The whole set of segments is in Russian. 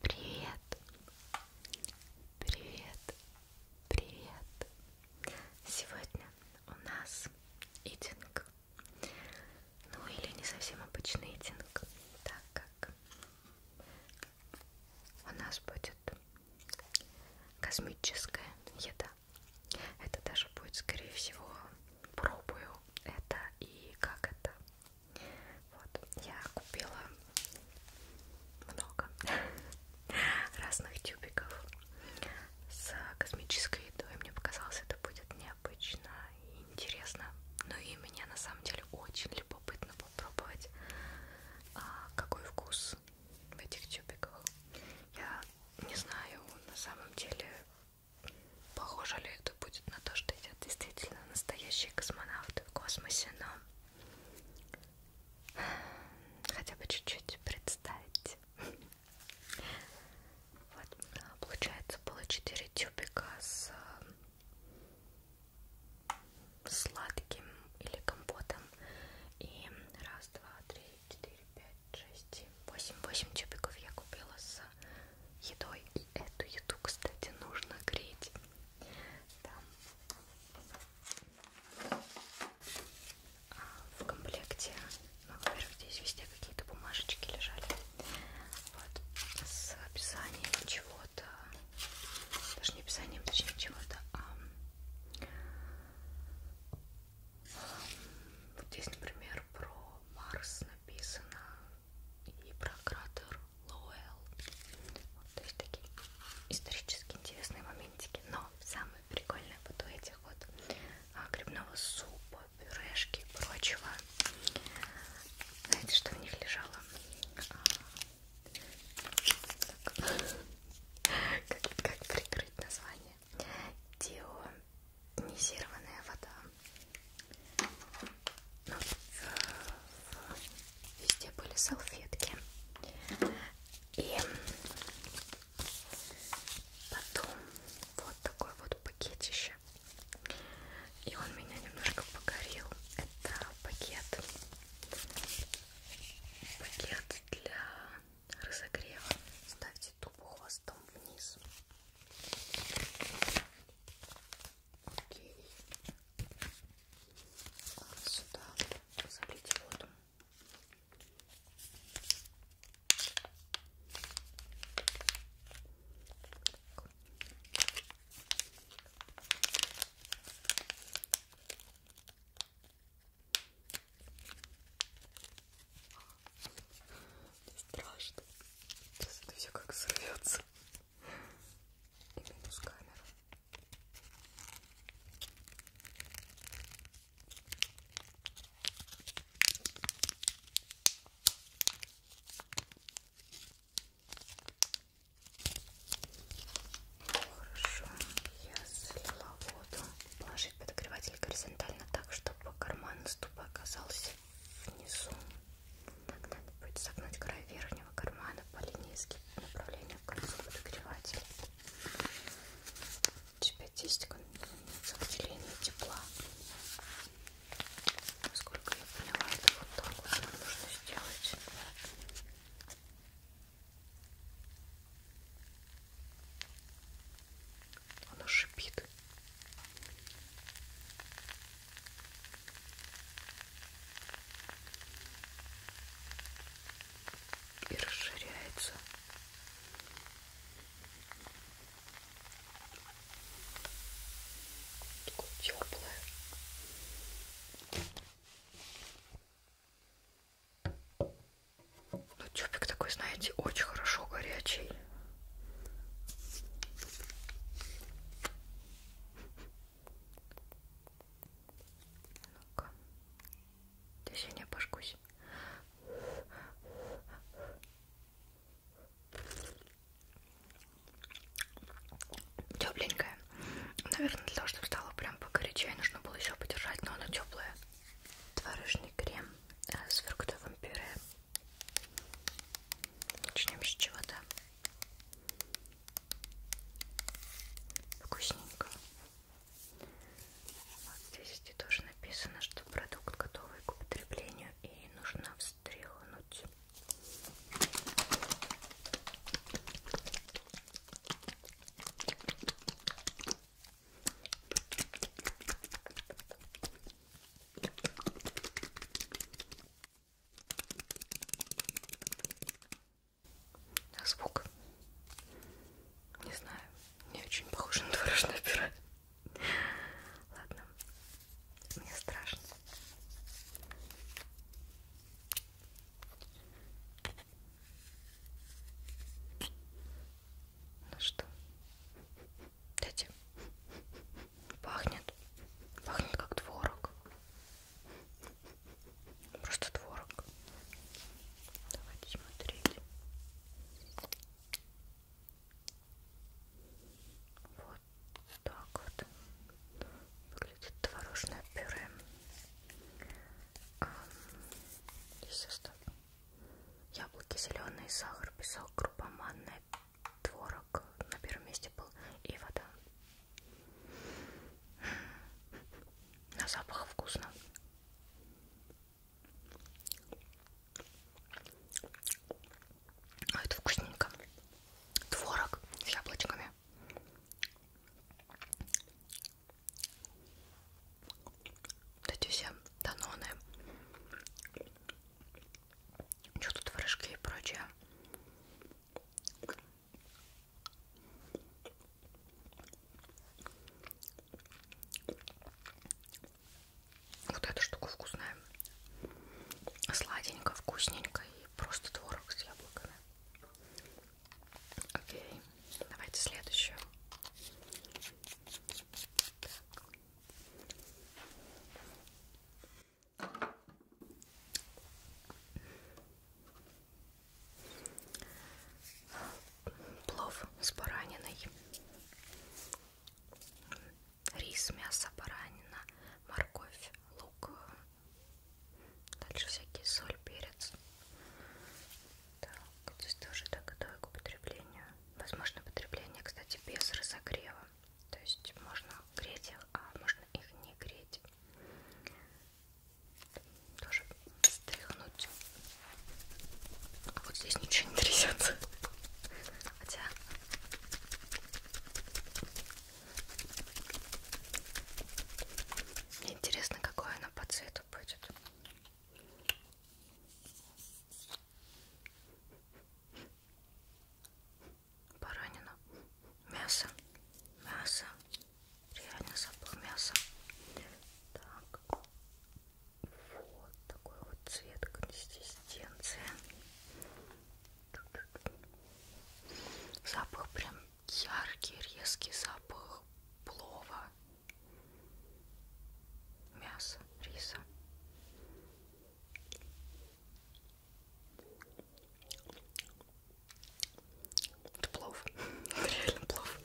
Привет, привет, привет. Сегодня у нас итинг, ну или не совсем обычный итинг, так как у нас будет космическая еда. Это даже будет, скорее всего, пробую это и как это вот, я купила много разных тюбиков с космической едой. Мне показалось, это будет необычно и интересно. Ну и меня на самом деле очень любопытно попробовать, а, какой вкус в этих тюбиках. Я не знаю, на самом деле Похоже ли это будет на то, что едят действительно настоящие космонавты в космосе, но хотя бы чуть-чуть представить. Вот, получается, было 4 тюбика с э, сладким или компотом. И раз, два, три, четыре, пять, шесть, восемь. Восемь тюбиков я купила с едой. И эту еду, кстати, нужно греть. Там. А в комплекте, ну, во-первых, здесь везде какие-то бумажечки лежали. Вот, с описанием чего-то. Даже не описанием, точнее чего-то, а вот здесь, например, про Марс написано, и про кратер Лоуэлл. Вот, то есть такие исторически интересные моментики. Но самое прикольное вот у этих вот а, грибного супа, пюрешки и прочего. Знаете, что в них лежало? А, так. Как, как прикрыть название? Дионизированная вода. Ну, везде были салфетки. И потом вот такой вот пакетище. И он меня немножко покорил. Это пакет. Пакет для разогрева. Ставьте тупо хвостом вниз. Окей. А сюда залить воду. Страшно. Сейчас это все как сорвется и минус камеру. Хорошо, я слила воду. Положить подогреватель горизонтально так, чтобы карман ступа оказался внизу. Так, надо будет согнуть край верхнего кармана по линии направления к концу подогревателя. У тебя тестик, он имеется в делении тепла. Насколько я поняла, это вот так вот нам нужно сделать. Она шипит и расширяется. Такое теплое. Ну, тюбик такой, знаете, очень хорошо горячий. Ну-ка. Здесь я не обожгусь. Тепленькая. Наверное, для того, чтобы стало прям покорячее, нужно было еще подержать, но она теплая. Творожный крем э, с фруктовым пюре. Начнем с чего-то Вкусненько. Вот здесь тоже написано, что продукт готовый к употреблению и нужно встряхнуть. А звук? Не знаю. Не очень похож на творожное пюре. Ладно. Мне страшно. Ну что? Дайте. Пахнет. Пахнет как творог. Просто творог. Давайте смотреть. Вот так вот выглядит творожное пюре. Здесь состав. Яблоки зеленые, сахар, песок, крупа, манная, творог как на первом месте был и вода. На запах вкусно. А это вкусненько. Творог с яблочками. Вот эти все даноны. Что тут творожки и прочее. Вот эта штука вкусная. Сладенько, вкусненько и просто творог с яблоками. Окей, давайте следующую. Так. Плов с бараниной, рис, мясо, баранина, морковь, лук, дальше всякие соль, перец. Так, здесь тоже так готовы к употреблению. Возможно, потребление, кстати, без разогрева. То есть можно греть их, а можно их не греть. Тоже стряхнуть. А вот здесь ничего не трясется. Хотя... Мне интересно, какое она по цвету будет баранина, мясо, мясо, реально забыл мясо. Так, вот такой вот цвет, консистенция. Запах прям яркий, резкий запах плова, мяса, риса. Это плов. Реально плов.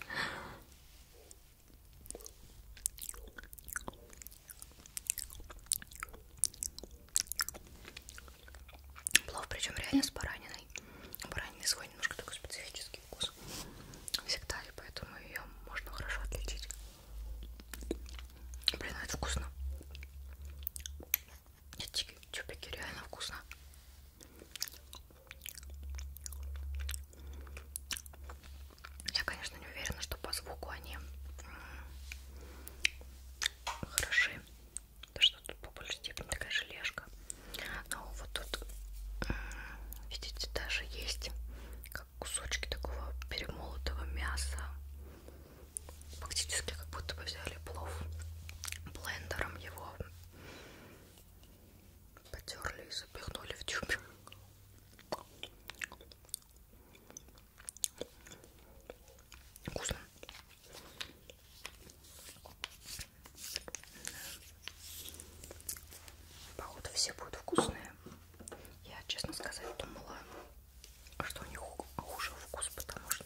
Плов, причем реально с бараниной. Баранина свой немножко такой специфический вкус. Всегда, и поэтому ее можно хорошо отличить. Блин, ну это вкусно. Эти чупики реально вкусно. Я, конечно, не уверена, что по звуку они хороши. Да что тут по большей степени такая желешка. Но вот тут, видите, даже есть как кусочки такого перемолотого мяса фактически как будто бы взяли плов блендером его потерли и запихнули в тюбик вкусно походу все будут вкусные я честно сказать думала что у них хуже вкус потому что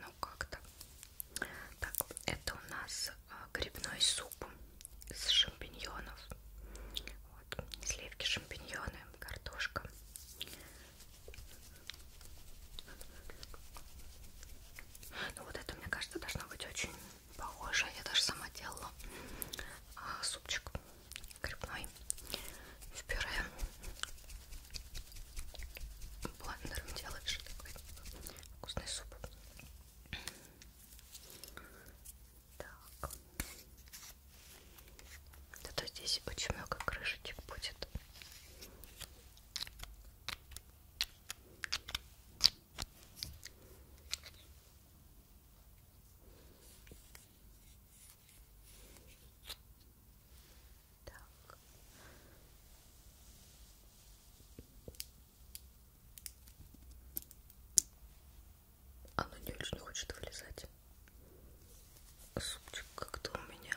ну как-то так, это у нас а, грибной суп из шампиньонов. Вот, сливки, шампиньоны, картошка. Ну вот это, мне кажется, должно быть очень похоже. Я даже сама делала а, супчик грибной в пюре блендером делаешь такой вкусный суп. Так. Зато здесь очень много крышечек будет. Так. Оно а не очень хочет вылезать. Супчик как-то у меня.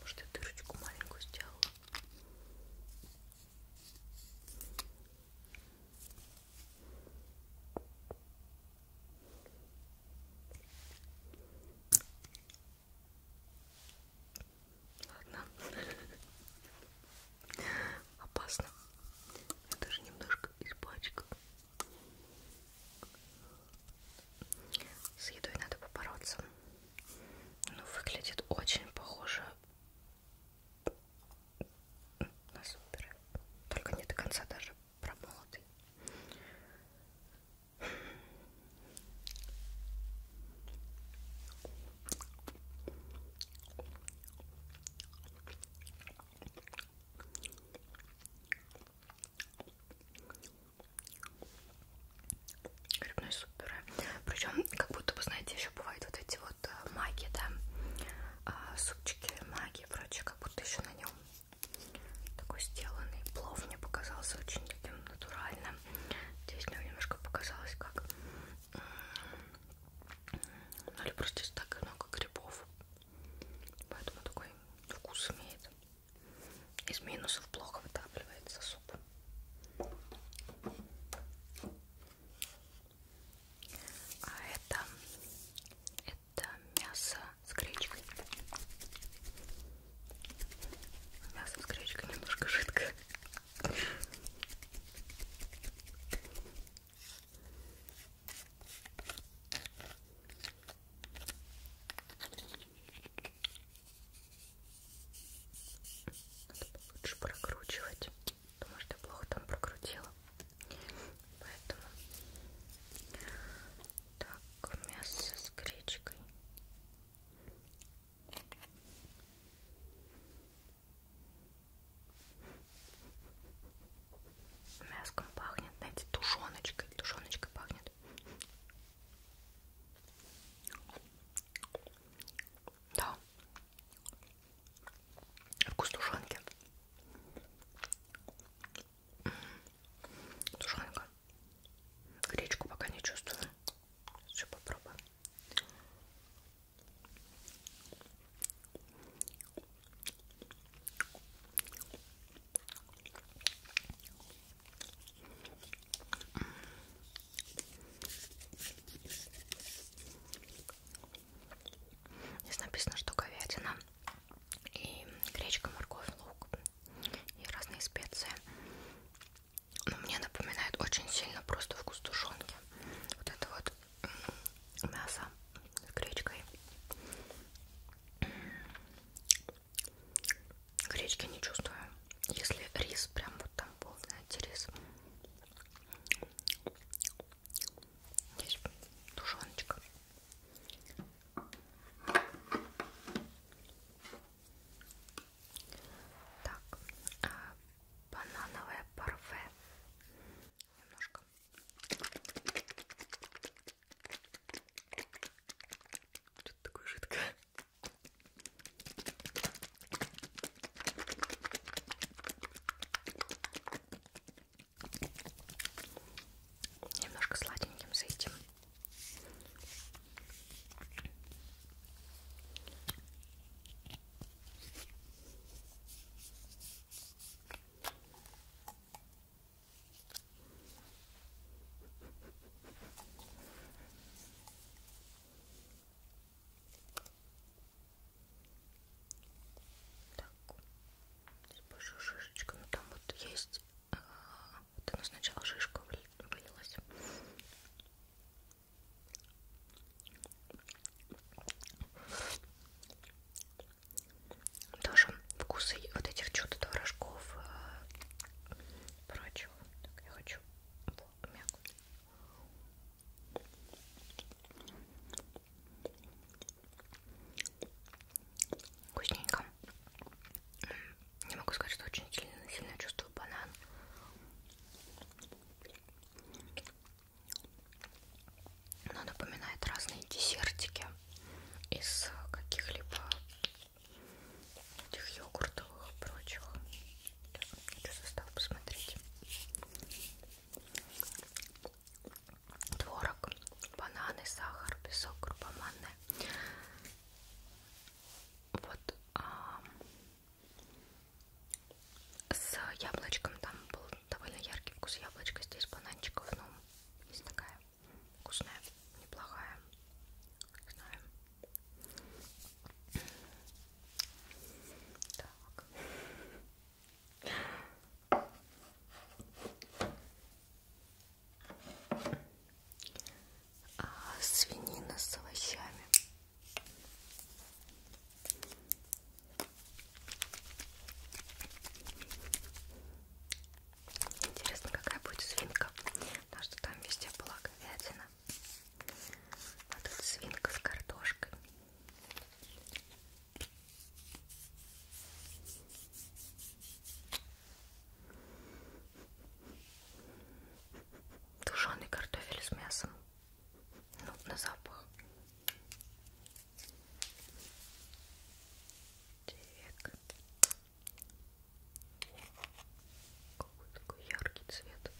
Может, я дырочку маленькую сделала. Ладно. Опасно. Я даже немножко испачкала. С едой надо побороться. Но ну, выглядит очень похоже на супер. Только не до конца даже про молодый. Грибной суп пюре. Причем, как будто бы, знаете, еще бывают вот эти вот э, маги, да, а, супчики, маги и прочее, как будто еще на нем такой сделанный плов мне показался очень таким натуральным. Здесь мне немножко показалось, как ну, либо здесь так много грибов. Поэтому такой вкус имеет. Из минусов плохо вытапливается суп. А это это мясо с гречкой. Мясо с гречкой немножко жидкое. Надо лучше прокручивать, потому что я плохо там прокрутила. Поэтому так, мясо с гречкой. Мяском пахнет, знаете, тушеночкой. Тушеночкой пахнет. Да. Вкус тушенки. Тушенка. Гречку пока не чувствую. Еще попробуем. Здесь написано, что говядина и гречка, морковь, лук и разные специи. Но мне напоминает очень сильно просто вкус тушенки. Вот это вот мясо с гречкой. Гречки не чувствую. Если рис, прям вот там был, знаете, рис. Здесь тушеночка. Так, а, банановое парфе. Немножко. Что-то такое жидкое. Немножко сладеньким за этим. Так, с большой шишечкой, ну там вот есть вот оно сначала шишка вылилась. Тоже вкусы вот этих чудо творожков э, прочего. Так, я хочу мяку. Вкусненько. Не могу сказать, что очень сильно, сильно чувствую банан. Но напоминает разные десертики из каких-либо этих йогуртовых и прочих. Хочу состав посмотреть творог, бананы, сахар, песок, крупа манная. Вот а, с яблочком там был довольно яркий вкус яблочка, здесь бананчиков, ну, есть такая вкусная, неплохая, не знаю. Так. А, свинина с овощами. Интересно, какая будет свинка, потому что там везде была говядина. А тут свинка с картошкой. Тушеный картофель с мясом. Ну, на запах. Так. Какой такой яркий цвет.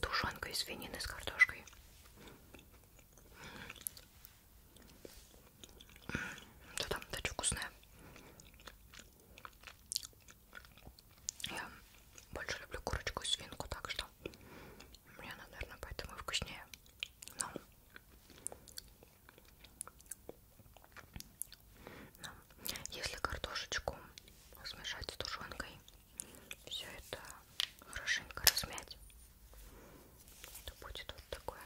Тушенка из свинины с картошкой. Что там? Да что вкусное? Я больше люблю курочку и свинку, так что мне она, наверное, поэтому и вкуснее. Но ну. Но если картошечку смешать с тушенкой, все это хорошенько размять, то будет вот такое.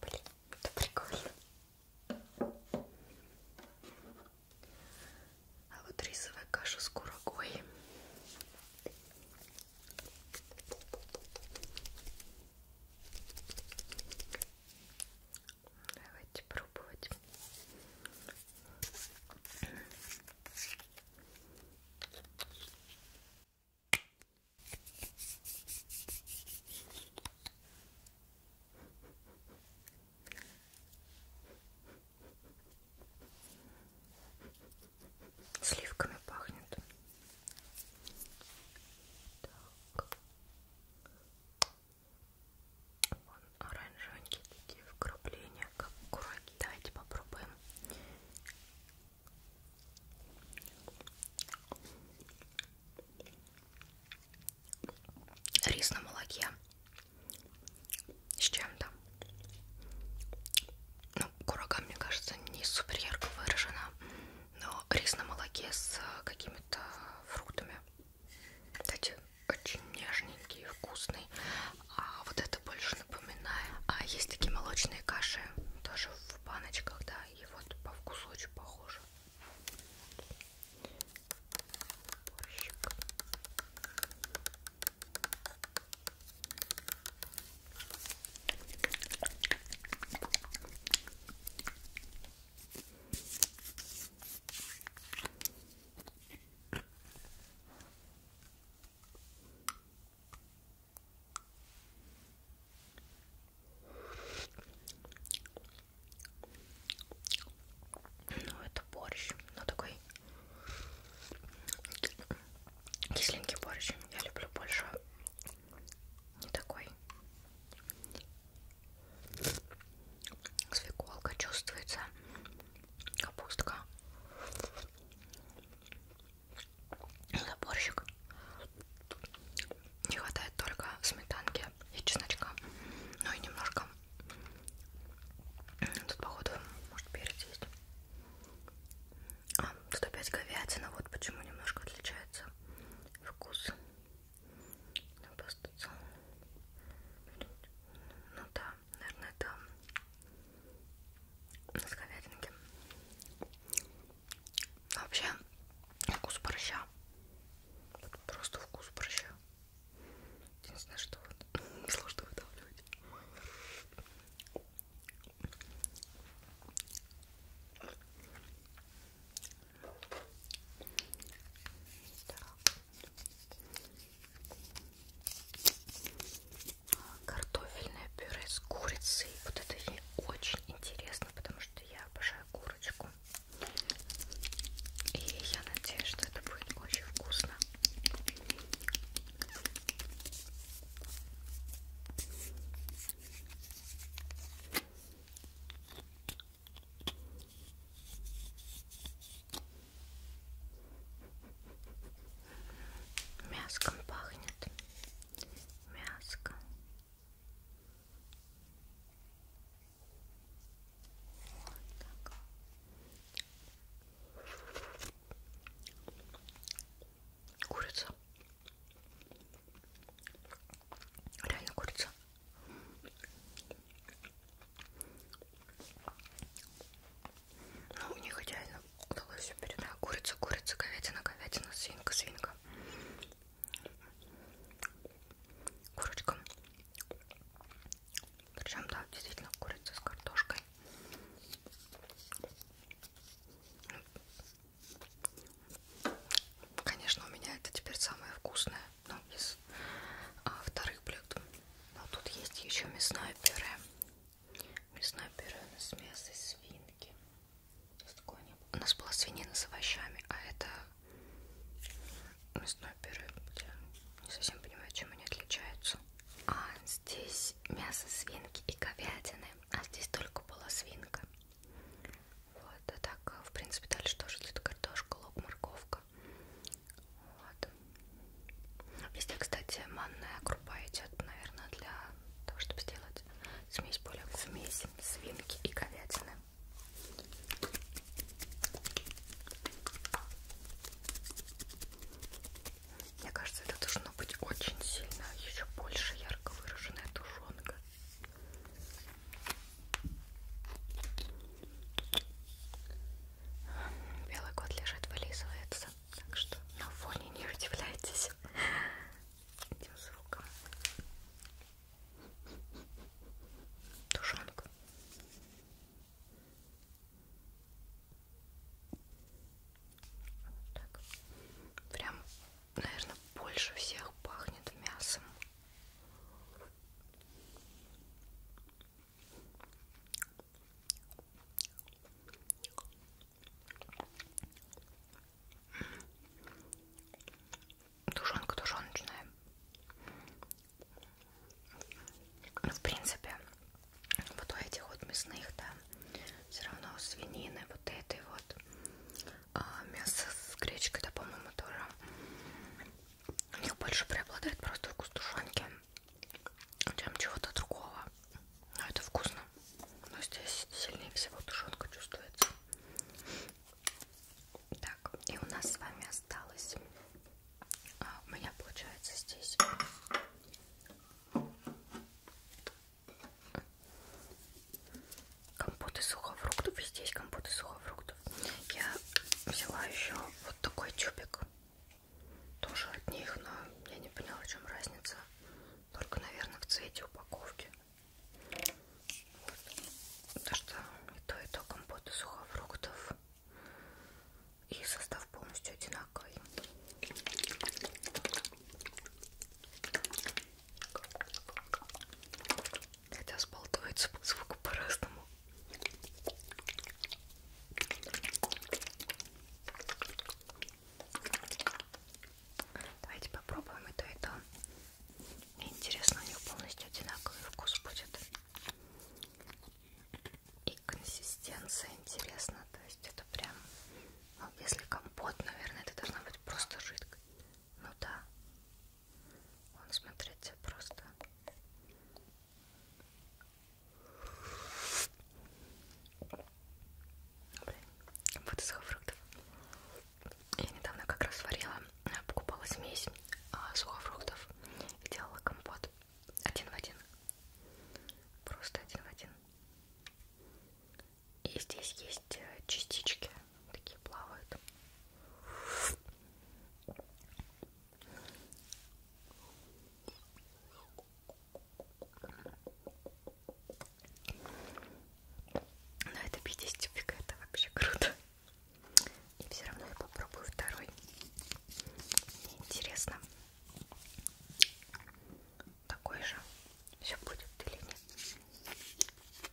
Блин, это прикольно. А вот рисовая каша с курагой Давайте пробовать. Сливками пахнет. Так. Вон оранжевенькие такие вкрапления, как кураги. Давайте попробуем. Рис на молоке с чем-то. Ну, курага, мне кажется, не супер ярко выражена но рис на молоке с э, какими-то фруктами. Кстати, очень нежненький и вкусный. А вот это больше напоминает. А есть такие молочные каши, тоже в баночках, да, и вот по вкусу очень похоже. Борщик. Ну, это борщ, но ну, такой кисленький борщ. Я люблю больше не такой. Свеколка чувствуется, капустка, заборщик. Не хватает только сметанки и чесночка, ну и немножко. Тут походу может перец есть. А, тут опять говядина, вот почему немножко отличается вкус. Ну да, наверное, это с говядинки. А вообще, вкус борща. Вот просто вкус борща. Единственное, что вот сложно выдавливать. Картофельное пюре с курицей. Вот это ей очень интересно, потому что я обожаю курочку. И я надеюсь, что это будет очень вкусно. Мяском пахнет. Мяско. Вот так. Курица. Реально курица. Ну, у них идеально удалось все передать. Курица, курица, говядина, говядина, свинка, свинка. Курочка. Причем, да, действительно, курица с картошкой. Конечно, у меня это теперь самое вкусное, но из а, вторых блюд. Но тут есть еще мясное пюре. Мясное пюре у нас мясо свинки. У нас была свинина с овощами, а это мясное пюре. Я не совсем понимаю, чем они отличаются. А здесь мясо свинки и говядины, а здесь только была свинка. Вот, а так, э, в принципе, дальше тоже идет картошка, лук, морковка. Вот. Везде, кстати, манная крупа идет, наверное, для того, чтобы сделать смесь более смесь свинки и говядины. Мне кажется, это должно быть очень сильно, еще больше ярко выраженная тушенка. Белый кот лежит, вылизывается, так что на фоне не удивляйтесь этим звуком. Тушенка. Вот так. Прям наверное, больше всех пахнет мясом. Тушенка тушеночная. Ну, в принципе, вот у этих вот мясных, да, все равно свинины вот этой вот а, мясо с гречкой, да, по-моему, тоже. У них больше преобладает просто вкус тушенки, чем чего-то другого. Но это вкусно. Но здесь сильнее всего тушенка чувствуется. Так, и у нас с вами осталось. А, у меня получается здесь компот из сухофруктов. И здесь компот из сухофруктов. Я взяла еще вот такой тюбик. Тоже от них, но я не поняла, в чем разница. Только, наверное, в цвете упаковки. Потому что и то, и то компот из сухофруктов. И состав полностью одинаковый. Хотя сболтует звук, звук по-разному. Давайте попробуем и то, и то. Мне интересно, у них полностью одинаковый вкус будет. И консистенция интересна. То есть это прям... Ну, если компот, наверное, это должна быть просто жидкость. Ну да. Он смотрится просто. Блин, как будто сухо фруктов. Я недавно как раз варила, э, покупала смесь а, сухофруктов и делала компот. Один в один. Просто один в один. И здесь есть э, частички, такие плавают. Но это 50 фиг, это вообще круто. И все равно я попробую второй. Мне интересно, такой же все будет или нет.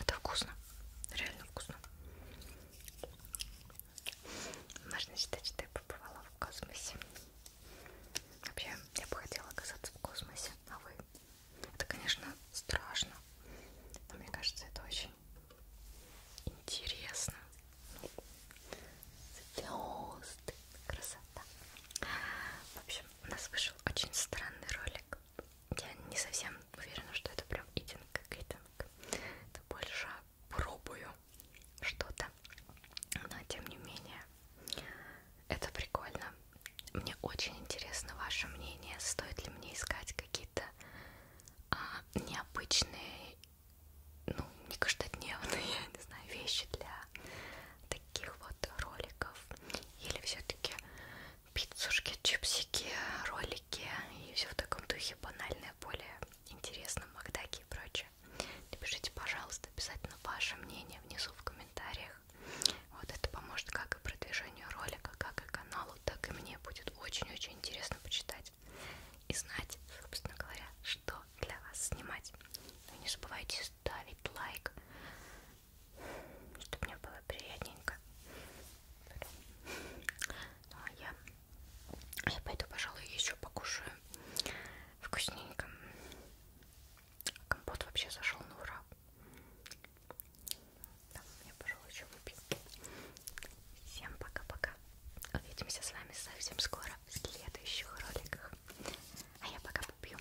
Это вкусно, реально вкусно. Можно считать, что я побывала в космосе. Вообще, я бы хотела оказаться в космосе, а вы? Это, конечно, страшно, но мне кажется, это очень интересно. Звезды. Красота. В общем, у нас вышел очень странный ролик. Я не совсем уверена, что это прям идинг гейдинг. Это больше пробую что-то. Но тем не менее, это прикольно. Мне очень интересно ваше мнение. Стоит ли мне искать какие-то а, необычные ну, не каждодневные, не знаю, вещи для таких вот роликов. Или все-таки пиццушки, чипсики, ролики и все в таком духе банальное, более интересном макдаке и прочее. Напишите, пожалуйста, обязательно ваше мнение внизу в комментариях. Вот это поможет как и продвижению ролика, как и каналу, так и мне будет очень-очень интересно почитать и знать, собственно говоря, что для вас снимать. Но не забывайте ставить лайк, чтобы мне было приятненько. Ну, а я, я пойду, пожалуй, еще покушаю вкусненько. Компот вообще зашел на ура. Да, я, пожалуй, еще выпью. Всем пока-пока. Увидимся с вами совсем скоро в следующих роликах. А я пока попью.